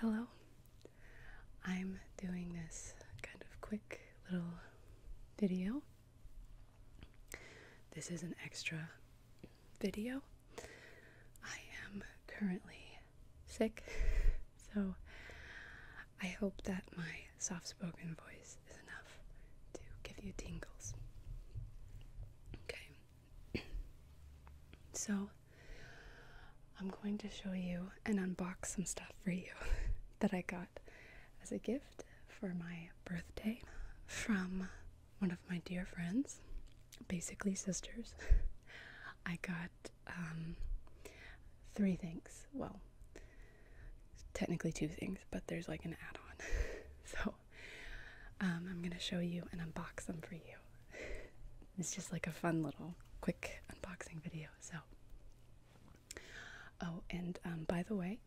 Hello. I'm doing this kind of quick little video this is an extra video. I am currently sick, so I hope that my soft spoken voice is enough to give you tingles. Okay, so I'm going to show you and unbox some stuff for you that I got as a gift for my birthday from one of my dear friends, basically sisters. I got um, three things. Well, technically two things, but there's like an add on. so um, I'm going to show you and unbox them for you. It's just like a fun little quick unboxing video. So Oh, and um, by the way,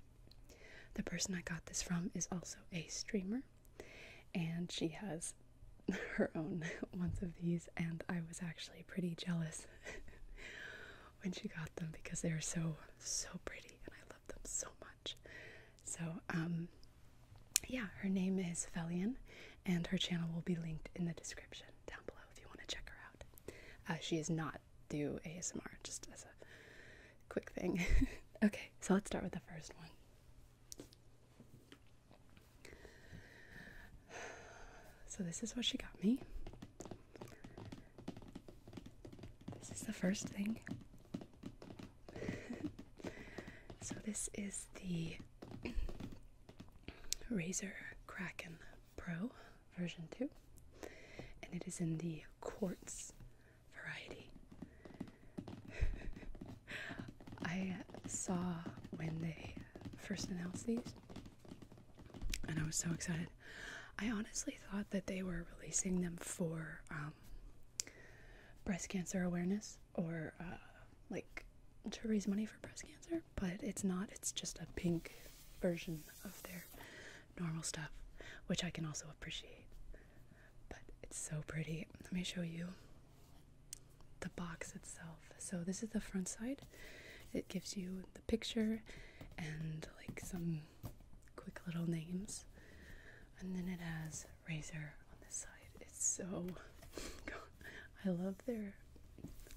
the person I got this from is also a streamer, and she has her own ones of these, and I was actually pretty jealous when she got them because they are so so pretty, and I love them so much. So, um, yeah, her name is Felian, and her channel will be linked in the description down below if you want to check her out. Uh, she is not do ASMR, just as a quick thing. okay, so let's start with the first one. So, this is what she got me. This is the first thing. so, this is the Razor Kraken Pro version 2, and it is in the quartz variety. I saw when they first announced these, and I was so excited. I honestly thought that they were releasing them for um, breast cancer awareness or uh, like to raise money for breast cancer, but it's not, it's just a pink version of their normal stuff, which I can also appreciate. But it's so pretty. Let me show you the box itself. So, this is the front side. It gives you the picture and like some quick little names. And then it has razor on this side. It's so I love their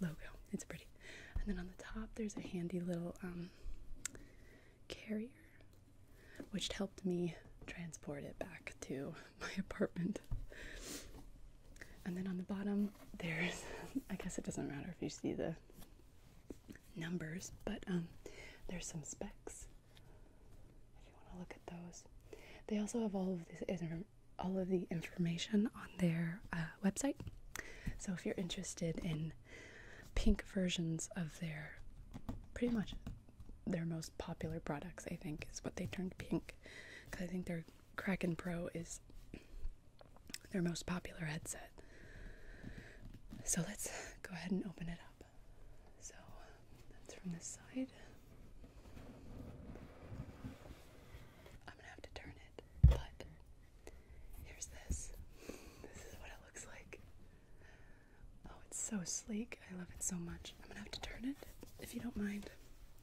logo. It's pretty. And then on the top there's a handy little um, carrier, which helped me transport it back to my apartment. And then on the bottom, there's I guess it doesn't matter if you see the numbers, but um, there's some specs. If you want to look at those, they also have all of this all of the information on their uh, website. So if you're interested in pink versions of their pretty much their most popular products, I think, is what they turned pink. Because I think their Kraken Pro is their most popular headset. So let's go ahead and open it up. So that's from this side. I'm gonna have to turn it, but Here's this. This is what it looks like. Oh, it's so sleek. I love it so much. I'm gonna have to turn it if you don't mind.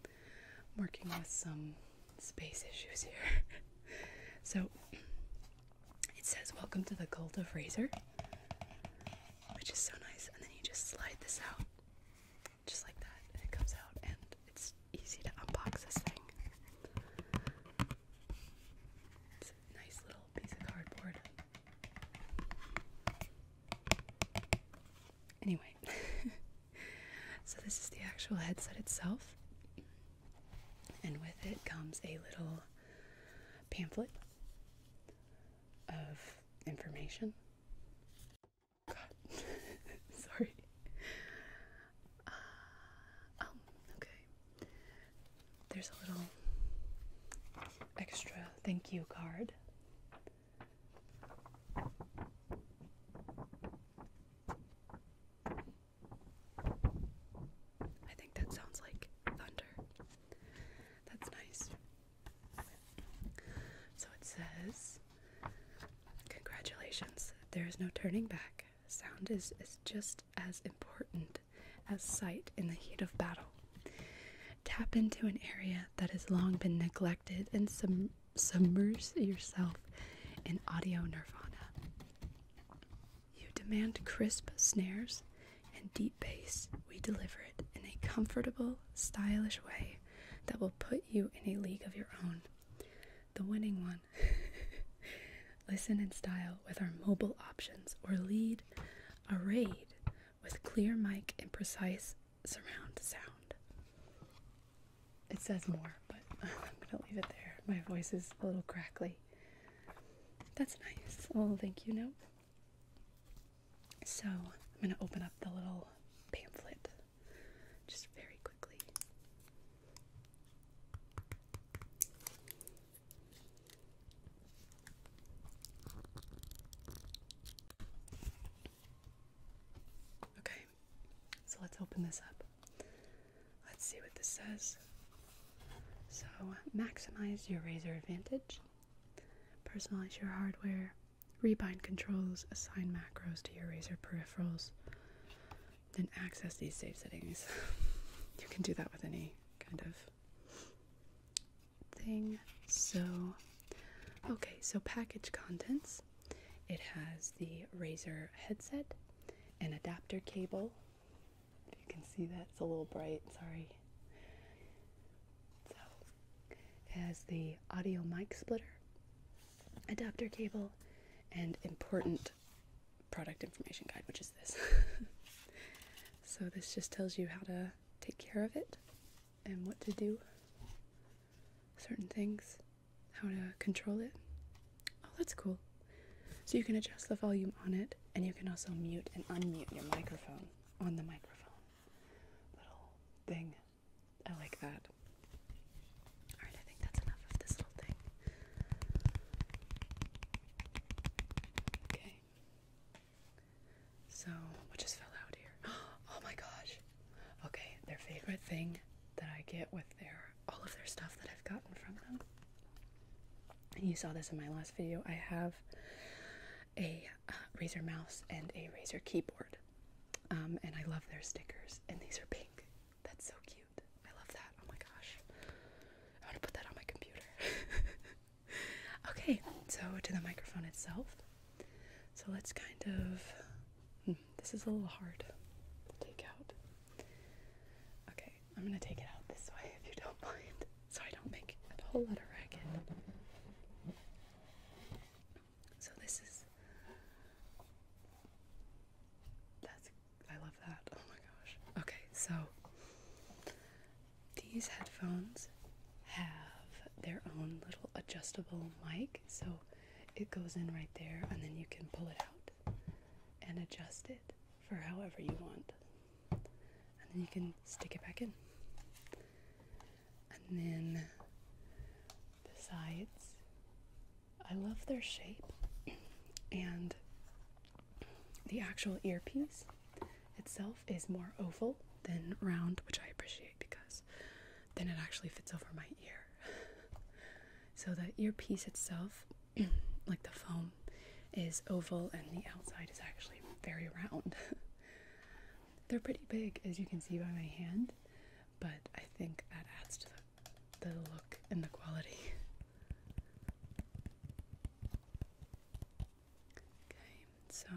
I'm working with some space issues here. so it says, Welcome to the cult of Razor, which is so nice. And then you just slide this out just like that, and it comes out, and it's easy to unbox this thing nice little piece of cardboard. Anyway, so this is the actual headset itself, and with it comes a little pamphlet of information. God, sorry. Uh, oh, okay. There's a little extra thank you card. I think that sounds like thunder. That's nice. So it says, Congratulations, there is no turning back. Sound is, is just as important as sight in the heat of battle. Tap into an area that has long been neglected and submerge yourself in audio nirvana. You demand crisp snares and deep bass. We deliver it in a comfortable, stylish way that will put you in a league of your own. The winning one Listen in style with our mobile options or lead a raid with clear mic and precise surround sound. It says more, but I'm going to leave it there. My voice is a little crackly. That's nice. Oh, thank you note. So I'm going to open up the little pamphlet just very quickly. Okay, so let's open this up. Let's see what this says. So, maximize your razor advantage, personalize your hardware, rebind controls, assign macros to your razor peripherals, and access these save settings. you can do that with any kind of thing. So, okay, so package contents. It has the Razer headset, an adapter cable. you can see that, it's a little bright, sorry. So, has the audio mic splitter, adapter cable, and important product information guide, which is this. so, this just tells you how to take care of it and what to do, certain things, how to control it. Oh, that's cool. So, you can adjust the volume on it, and you can also mute and unmute your microphone on the microphone. Little thing. I like that. Alright, I think that's enough of this little thing. Okay. So, what just fell out here? Oh my gosh. Okay, their favorite thing that I get with their all of their stuff that I've gotten from them. And you saw this in my last video. I have a uh, Razer mouse and a Razer keyboard. Um, and I love their stickers. And these are pink. That's so cute. I love that. Oh my gosh. I'm to put that on my computer. okay, so to the microphone itself. So let's kind of. Hmm, this is a little hard take out. Okay, I'm gonna take it out this way if you don't mind, so I don't make a whole lot of racket. So this is. That's I love that. Oh my gosh. Okay, so these headphones have their own little adjustable mic, so it goes in right there, and then you can pull it out and adjust it for however you want. And then you can stick it back in. And then the sides I love their shape and the actual earpiece itself is more oval than round, which I appreciate because then it actually fits over my ear. so the earpiece itself, like the foam, is oval and the outside is actually very round. They're pretty big as you can see by my hand, but I think that adds to them the look and the quality. Okay, so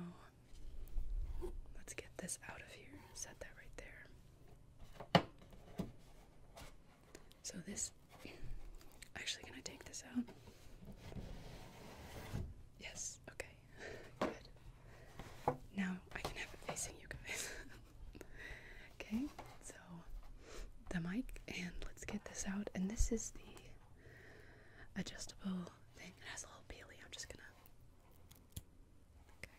let's get this out of here. Set that right there. So this actually can I take this out? Yes, okay. Good. Now I can have it facing you guys. okay, so the mic, and let's get this out. And this is the adjustable thing. It has a little peely. I'm just gonna. Okay.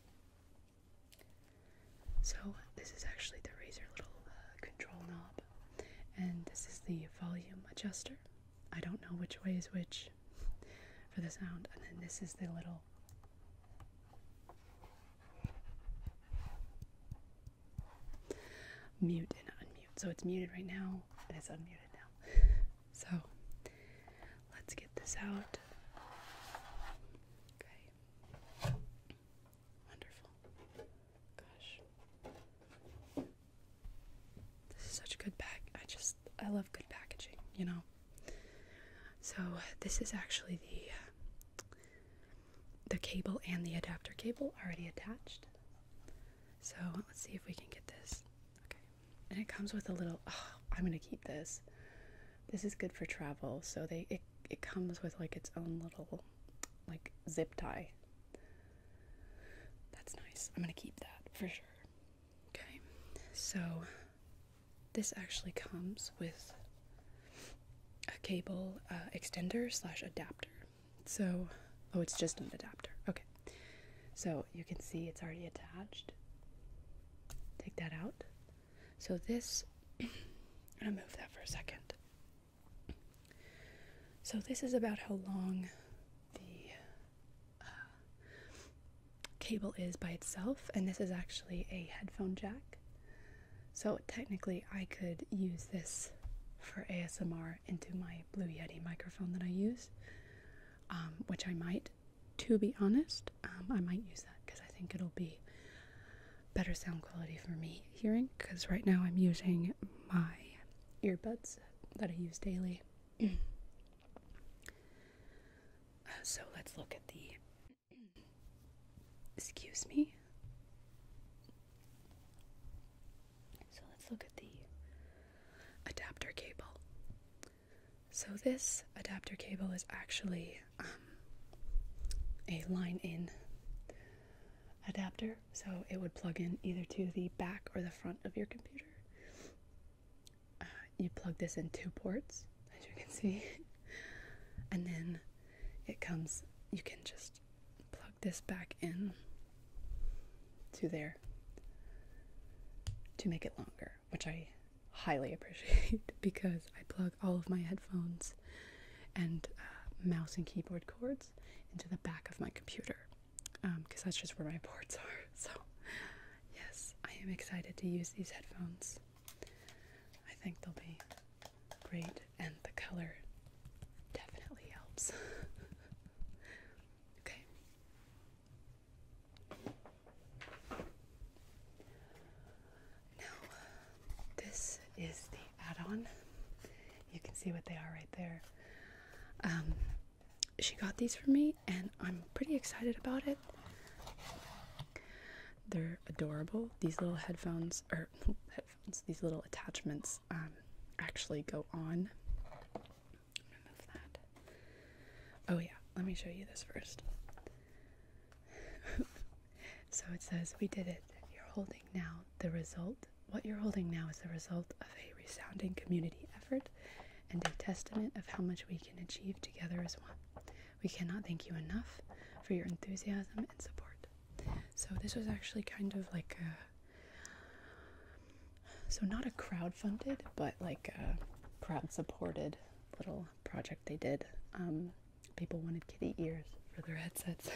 So this is actually the razor little uh, control knob, and this is the volume adjuster. I don't know which way is which for the sound, and then this is the little mute and unmute. So it's muted right now and it's unmuted now. so let's get this out. Okay. Wonderful. Gosh. This is such a good bag. I just, I love good packaging, you know? So this is actually the the cable and the adapter cable already attached. So let's see if we can get this. Okay. And it comes with a little, I'm going to keep this. This is good for travel. So they, it, it comes with like its own little like zip tie. That's nice. I'm going to keep that for sure. Okay. So this actually comes with a cable uh, extender slash adapter. So, oh, it's just an adapter. Okay. So you can see it's already attached. Take that out. So this, I'm gonna move that for a second. So this is about how long the uh, cable is by itself, and this is actually a headphone jack. So technically, I could use this for ASMR into my Blue Yeti microphone that I use, um, which I might. To be honest, um, I might use that because I think it'll be better sound quality for me hearing. Because right now I'm using my earbuds that I use daily. so let's look at the Excuse me. So let's look at the adapter cable. So this adapter cable is actually um, a line in adapter, so it would plug in either to the back or the front of your computer. Uh, you plug this in two ports, as you can see, and then it comes, you can just plug this back in to there to make it longer, which I highly appreciate because I plug all of my headphones and uh, mouse and keyboard cords into the back of my computer because um, that's just where my ports are. So, yes, I am excited to use these headphones. I think they'll be Great, and the color definitely helps. okay. Now, this is the add-on. You can see what they are right there. Um, she got these for me, and I'm pretty excited about it. They're adorable. These little headphones or headphones, these little attachments um, actually go on. Oh yeah, let me show you this first. so it says we did it. You're holding now the result. What you're holding now is the result of a resounding community effort and a testament of how much we can achieve together as one. We cannot thank you enough for your enthusiasm and support. So, this was actually kind of like a so not a crowd-funded, but like a crowd supported little project they did. Um, people wanted kitty ears for their headsets,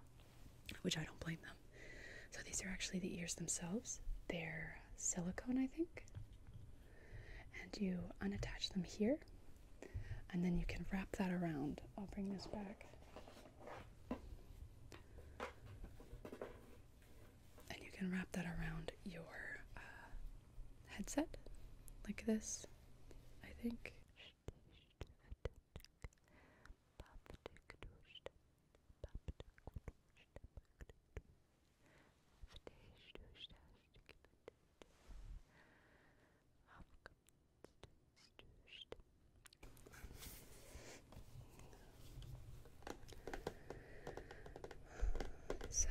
which I don't blame them. So these are actually the ears themselves. They're silicone, I think. And you unattach them here, and then you can wrap that around. I'll bring this back. And you can wrap that around your uh, headset like this, I think. So,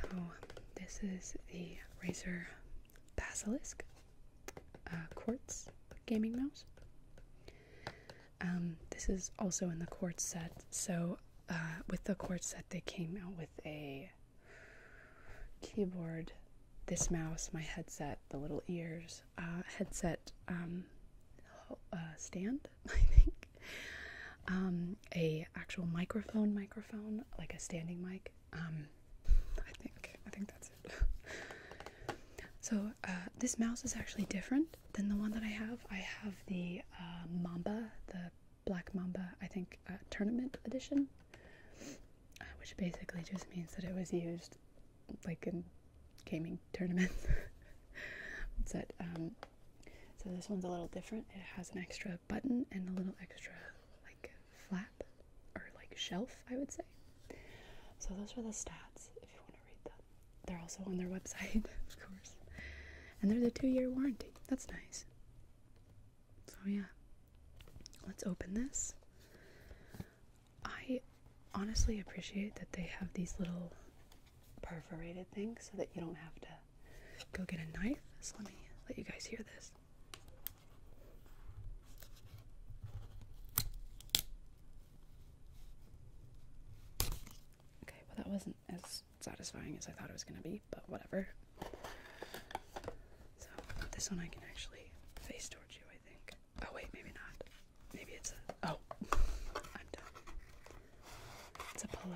this is the Razer Basilisk uh, Quartz gaming mouse. Um, this is also in the quartz set. So, uh, with the quartz set, they came out with a keyboard, this mouse, my headset, the little ears, uh, headset um, uh, stand, I think, um, a actual microphone, microphone, like a standing mic. Um, I think I think that's it. so uh, this mouse is actually different than the one that I have. I have the Mamba, the Black Mamba, I think, tournament edition which basically just means that it was used like in gaming tournaments. Um, so this one's a little different. It has an extra button and a little extra like flap or like shelf, I would say. So those are the stats if you want to read them. They're also on their website, of course. And there's a two-year warranty. That's nice. So yeah, Let's open this. I honestly appreciate that they have these little perforated things so that you don't have to go get a knife. So let me let you guys hear this. Okay, well, that wasn't as satisfying as I thought it was going to be, but whatever. So this one I can actually face towards you, I think. Oh wait, maybe not. Maybe it's a oh I'm done. It's a pull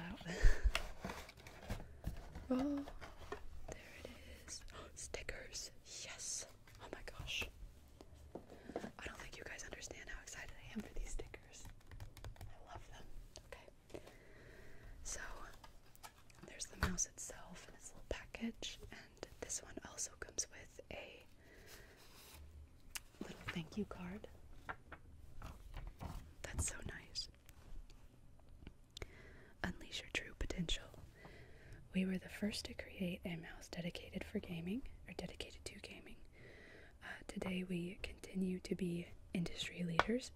oh there it is. stickers. Yes. Oh my gosh. I don't think you guys understand how excited I am for these stickers. I love them. Okay. So there's the mouse itself in its little package, and this one also comes with a little thank you card. That's so nice. Unleash your true potential. We were the first to create a mouse dedicated for gaming, or dedicated to gaming. Uh, today, we continue to be industry leaders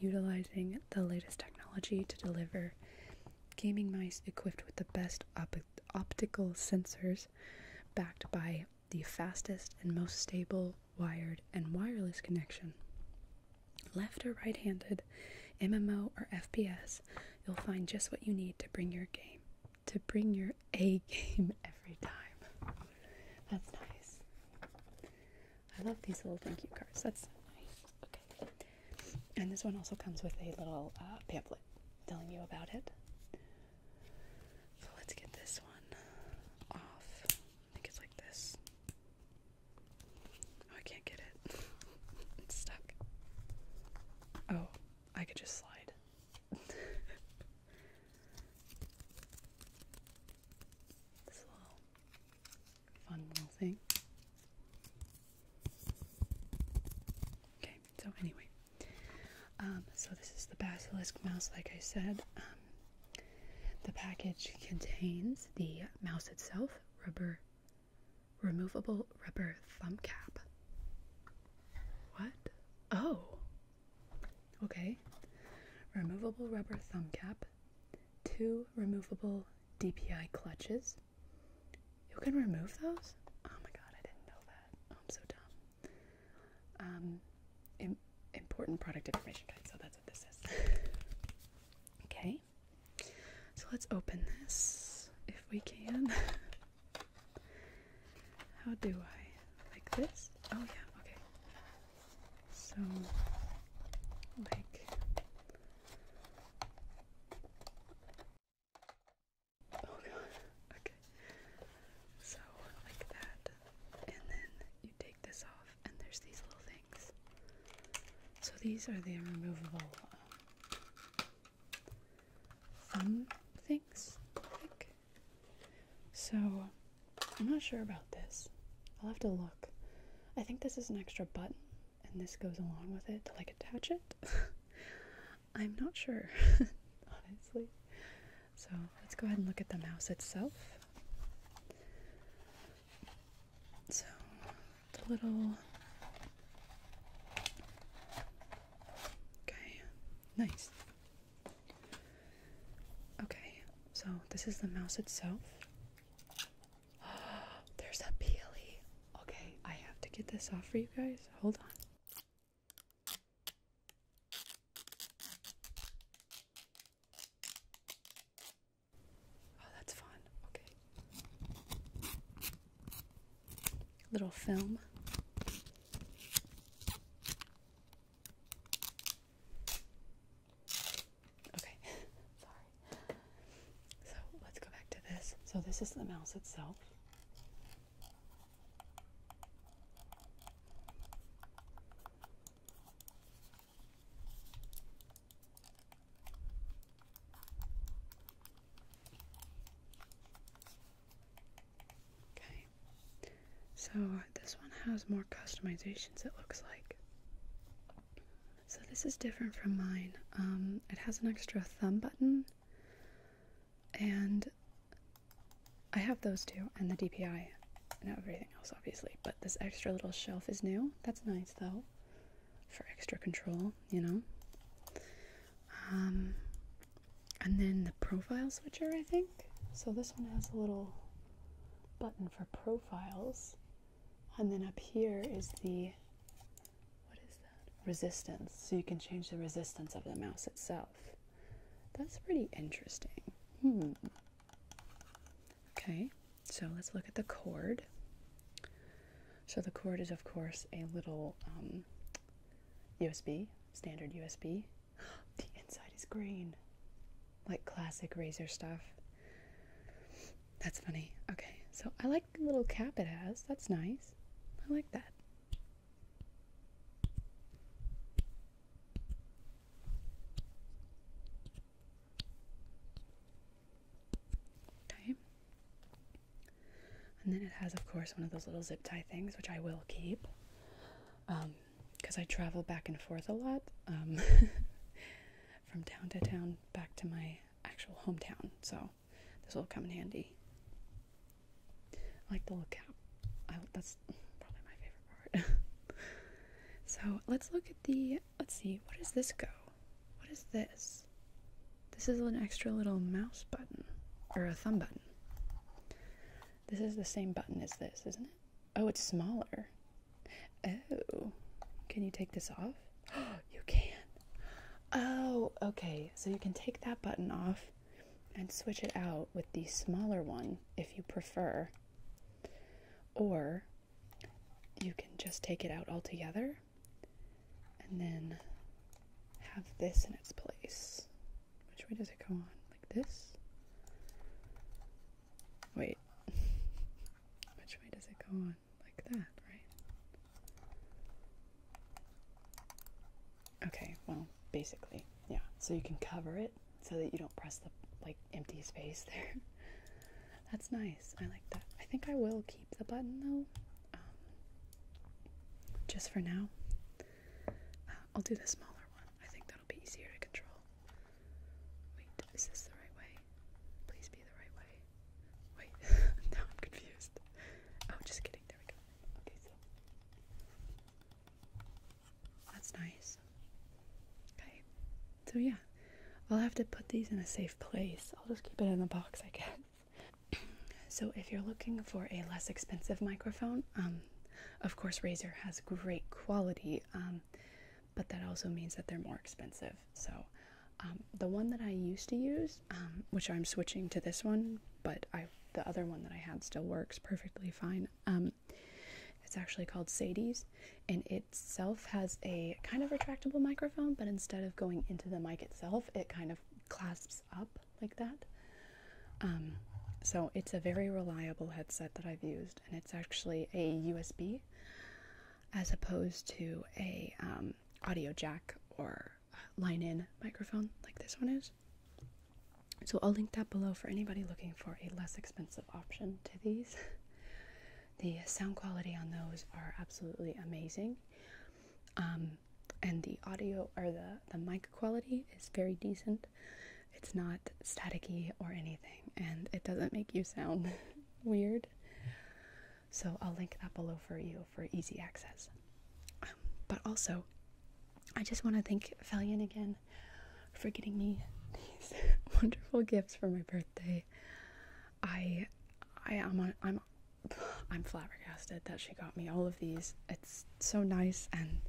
utilizing the latest technology to deliver gaming mice equipped with the best optical sensors, backed by the fastest and most stable wired and wireless connection. Left or right handed, MMO or FPS, you'll find just what you need to bring your game, to bring your A game every time. That's nice. I love these little thank you cards. That's so nice. Okay. And this one also comes with a little uh, pamphlet telling you about it. So let's get this one off. I think it's like this. Oh, I can't get it. it's stuck. Oh, I could just slide. this fun little thing. Okay, so anyway, um, so this is the basilisk mouse, like I said. Um, the package contains the mouse itself, rubber, removable rubber thumb cap. What? Oh, okay. Removable rubber thumb cap, two removable DPI clutches. You can remove those? Oh my god, I didn't know that. Oh, I'm so dumb. Um, important product information guide, so that's what this is. okay, so let's open this if we can. How do I? Like this? Oh, yeah, okay. So, like Hold Okay. So like that. And then you take this off and there's these little things. So these are the removable um, thumb things, I think. So I'm not sure about this. I'll have to look. I think this is an extra button and this goes along with it to like attach it. I'm not sure, honestly. So let's go ahead and look at the mouse itself. So the little. Okay, nice. Okay, so this is the mouse itself. There's a peely. Okay, I have to get this off for you guys. Hold on. Oh, that's fun. Okay. Little film. Okay, sorry. So let's go back to this. So this is the mouse itself. Okay, so uh, this one has more customizations, it looks like. So this is different from mine. Um, it has an extra thumb button, and I have those too. and the DPI, and everything else, obviously. But this extra little shelf is new. That's nice, though, for extra control, you know. Um, and then the profile switcher, I think. So this one has a little button for profiles and then up here is the what is that? Resistance. So you can change the resistance of the mouse itself. That's pretty interesting. Hmm. Okay, so let's look at the cord. So the cord is, of course, a little USB, um, standard USB. the inside is green, like classic Razer stuff. That's funny. Okay, so I like the little cap it has. That's nice. I like that. Okay. And then it has, of course, one of those little zip tie things, which I will keep. Because um, I travel back and forth a lot. Um, from town to town back to my actual hometown. So this will come in handy. I like the little cap. I, that's probably my favorite part. so let's look at the. Let's see. What does this go? What is this? This is an extra little mouse button or a thumb button. This is the same button as this, isn't it? Oh, it's smaller. Oh, can you take this off? you can. Oh, okay. So you can take that button off and switch it out with the smaller one if you prefer. Or you can just take it out altogether and then have this in its place. Which way does it go on? Like this? Wait. Which way does it go on? like that, right? Okay, well, basically, yeah. So you can cover it so that you don't press the like empty space there. That's nice. I like that. I think I will keep the button though, um, just for now. Uh, I'll do the smaller one. I think that'll be easier to control. Wait, is this the right way? Please be the right way. Wait, now I'm confused. Oh, just kidding. There we go. Okay, so. That's nice. Okay. So, yeah. I'll have to put these in a safe place. I'll just keep it in the box, I guess. so, if you're looking for a less expensive microphone, um, of course, Razer has great quality. Um, but that also means that they're more expensive. So, um, the one that I used to use, um, which I'm switching to this one, but the other one that I had still works perfectly fine. Um, it's actually called Sadie's, and itself has a kind of retractable microphone, but instead of going into the mic itself, it kind of clasps up like that. so it's a very reliable headset that I've used, and it's actually a USB as opposed to a um, audio jack or line-in microphone like this one is. So I'll link that below for anybody looking for a less expensive option to these. The sound quality on those are absolutely amazing. Um, and the audio or the, the mic quality is very decent. It's not staticky or anything, and it doesn't make you sound weird. So I'll link that below for you for easy access. but also, I just want to thank Felian again for getting me these wonderful gifts for my birthday. I, I am on, I'm, I'm flabbergasted that she got me all of these. It's so nice, and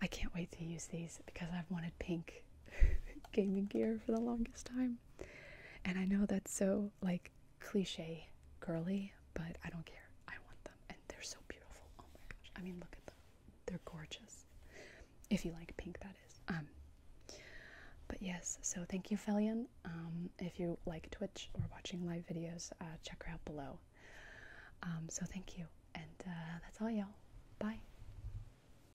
I can't wait to use these because I've wanted pink gaming gear for the longest time. And I know that's so like cliche girly, but I don't care. I want them. And they're so beautiful. Oh my gosh. I mean, look at them. They're gorgeous. If you like pink, that is. Um, but yes, so thank you, Felion. Um, if you like Twitch or watching live videos, uh, check her out below. Um, so thank you. And uh, that's all, y'all. Bye.